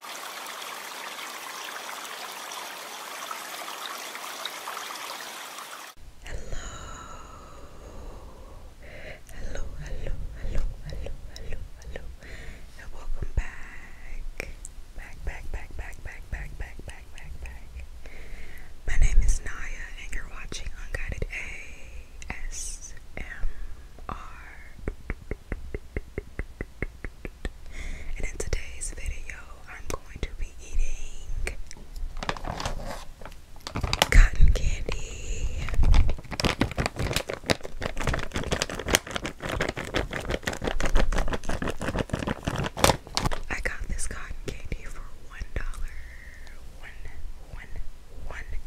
Hello. Hello, hello, hello, hello, hello, And welcome back. Back, back, back, back, back, back, back, back, back, back. My name is Naya and you're watching Unguided ASMR. And in today's video, I'm going to be eating cotton candy. I got this cotton candy for one dollar, one, one, one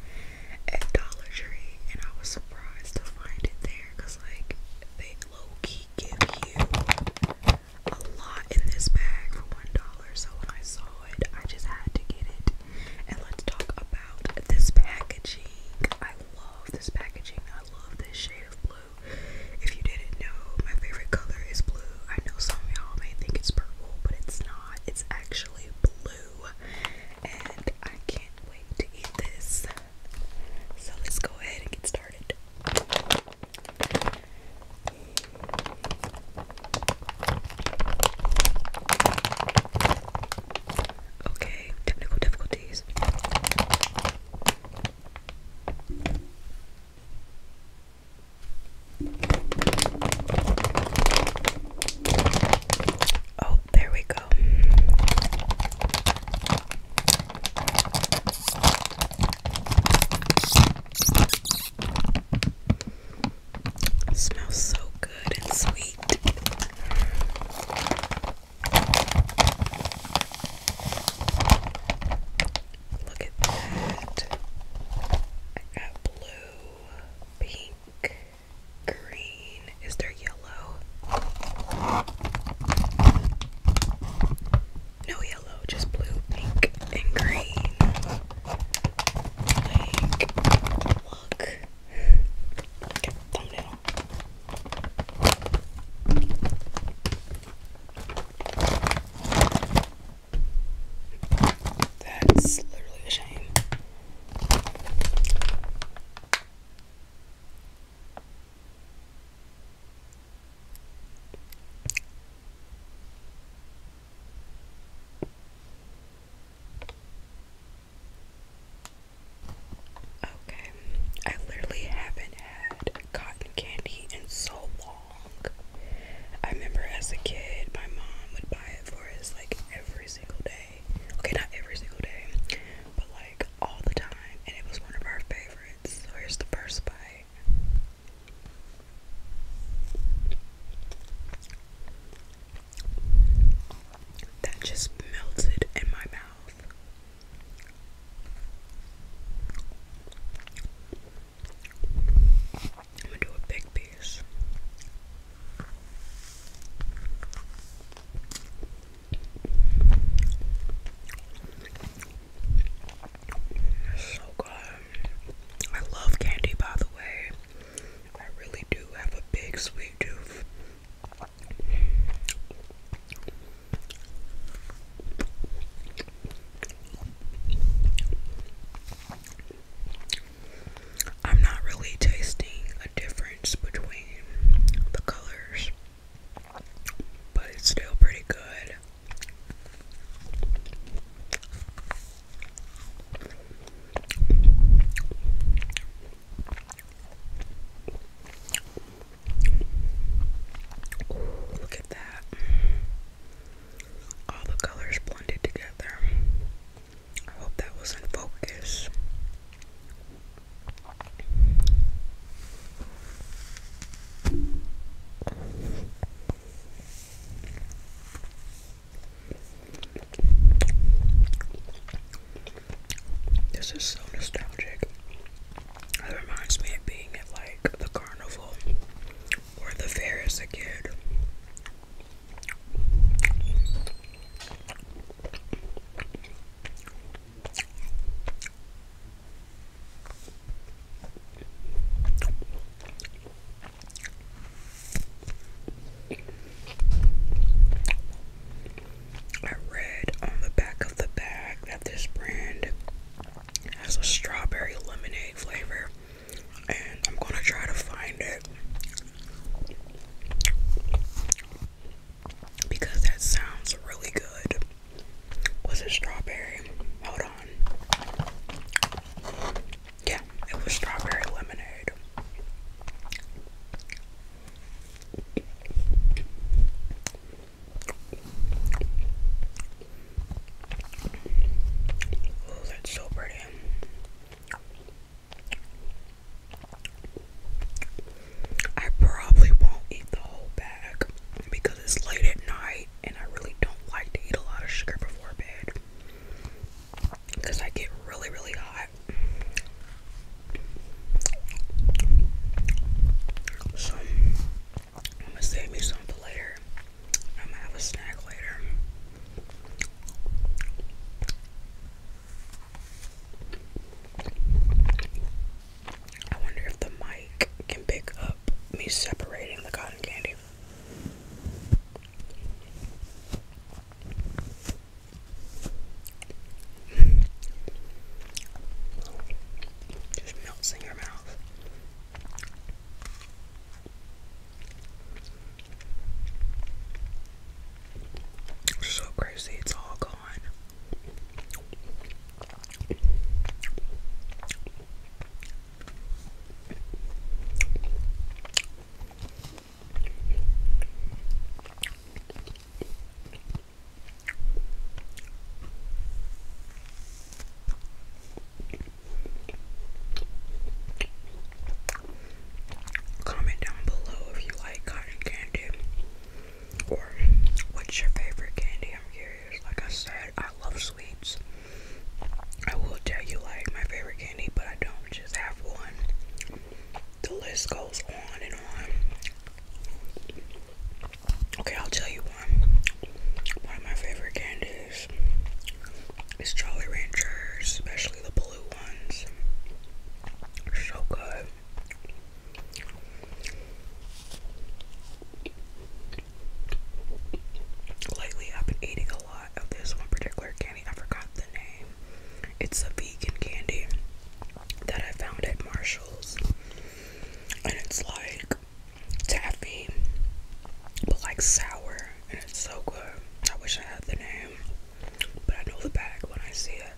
at Dollar Tree, and I was surprised to find it there like they low-key give you a lot in this bag for one dollar. So when I saw it, I just had to get it. And let's talk about this packaging. I love this packaging. I love this shade of blue. If you didn't know, my favorite color is blue. I know some of y'all may think it's purple, but it's not. It's actually blue and I can't wait to eat this. So let's go ahead and get started. Okay, technical difficulties. Oh, there we go. smells so good and sweet. Look at that. I got blue, pink, green. Is there yellow? No yellow, just blue, pink, and green. Like, look. thumbnail. That's literally a shame. Okay, I literally haven't had cotton candy in so long. I remember as a kid, my mom would buy it for us like every single day. Okay, not every single day, but like all the time. And it was one of our favorites. here's the first bite. That just melted in my mouth. I'm gonna do a big so good. I love candy, by the way. I really do have a big sweet tooth. I'm not really tasting a difference between the colors, but it's still pretty good. look at that. All the colors blended together. I hope that was in focus. This is so nostalgic. It reminds me of being at like the carnival or the fair as a kid. I read on the back of the bag that this brand has a strawberry lemonade flavor and I'm gonna try to find it because that sounds really good. Was it strawberry? Hold on. Yeah, it was strawberry lemonade. Oh, that's so pretty. I probably won't eat the whole bag because it's late at night and I really don't like to eat a lot of sugar before bed because I get really, really hot. So, I'm gonna save me something later. I'm gonna have a snack later. I wonder if the mic can pick up me separating the cotton candy. Just melts in your mouth. So crazy, it's all gone. Comment down below if you like cotton candy or what's your favorite candy. I'm curious. Like I said, I love sweets. I will tell you like my favorite candy, but I don't just have one. The list goes on and on. Okay, I'll tell you one. One of my favorite candies it's Jolly Ranchers, especially the blue ones. so good. Lately, I've been eating a lot of this one particular candy. I forgot the name. It's a vegan candy that I found at Marshall's. And it's like taffy, but like sour, and it's so good. I wish I had the name, but I know the bag when I see it.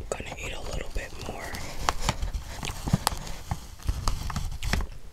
I'm gonna eat a little bit more.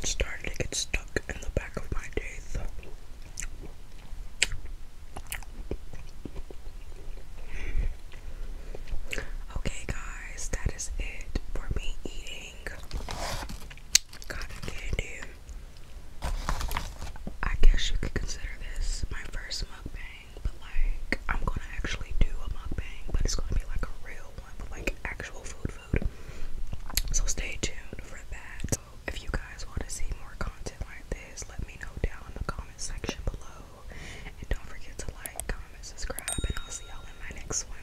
It's starting to get stuck in the back of my teeth. Okay, guys, that is it for me eating cotton candy. I guess you could consider this my first mukbang, but like I'm gonna actually do a mukbang, but it's gonna be like a real one like actual food food. So stay tuned for that. if you guys want to see more content like this, let me know down in the comment section below. And don't forget to like, comment, subscribe, and I'll see y'all in my next one.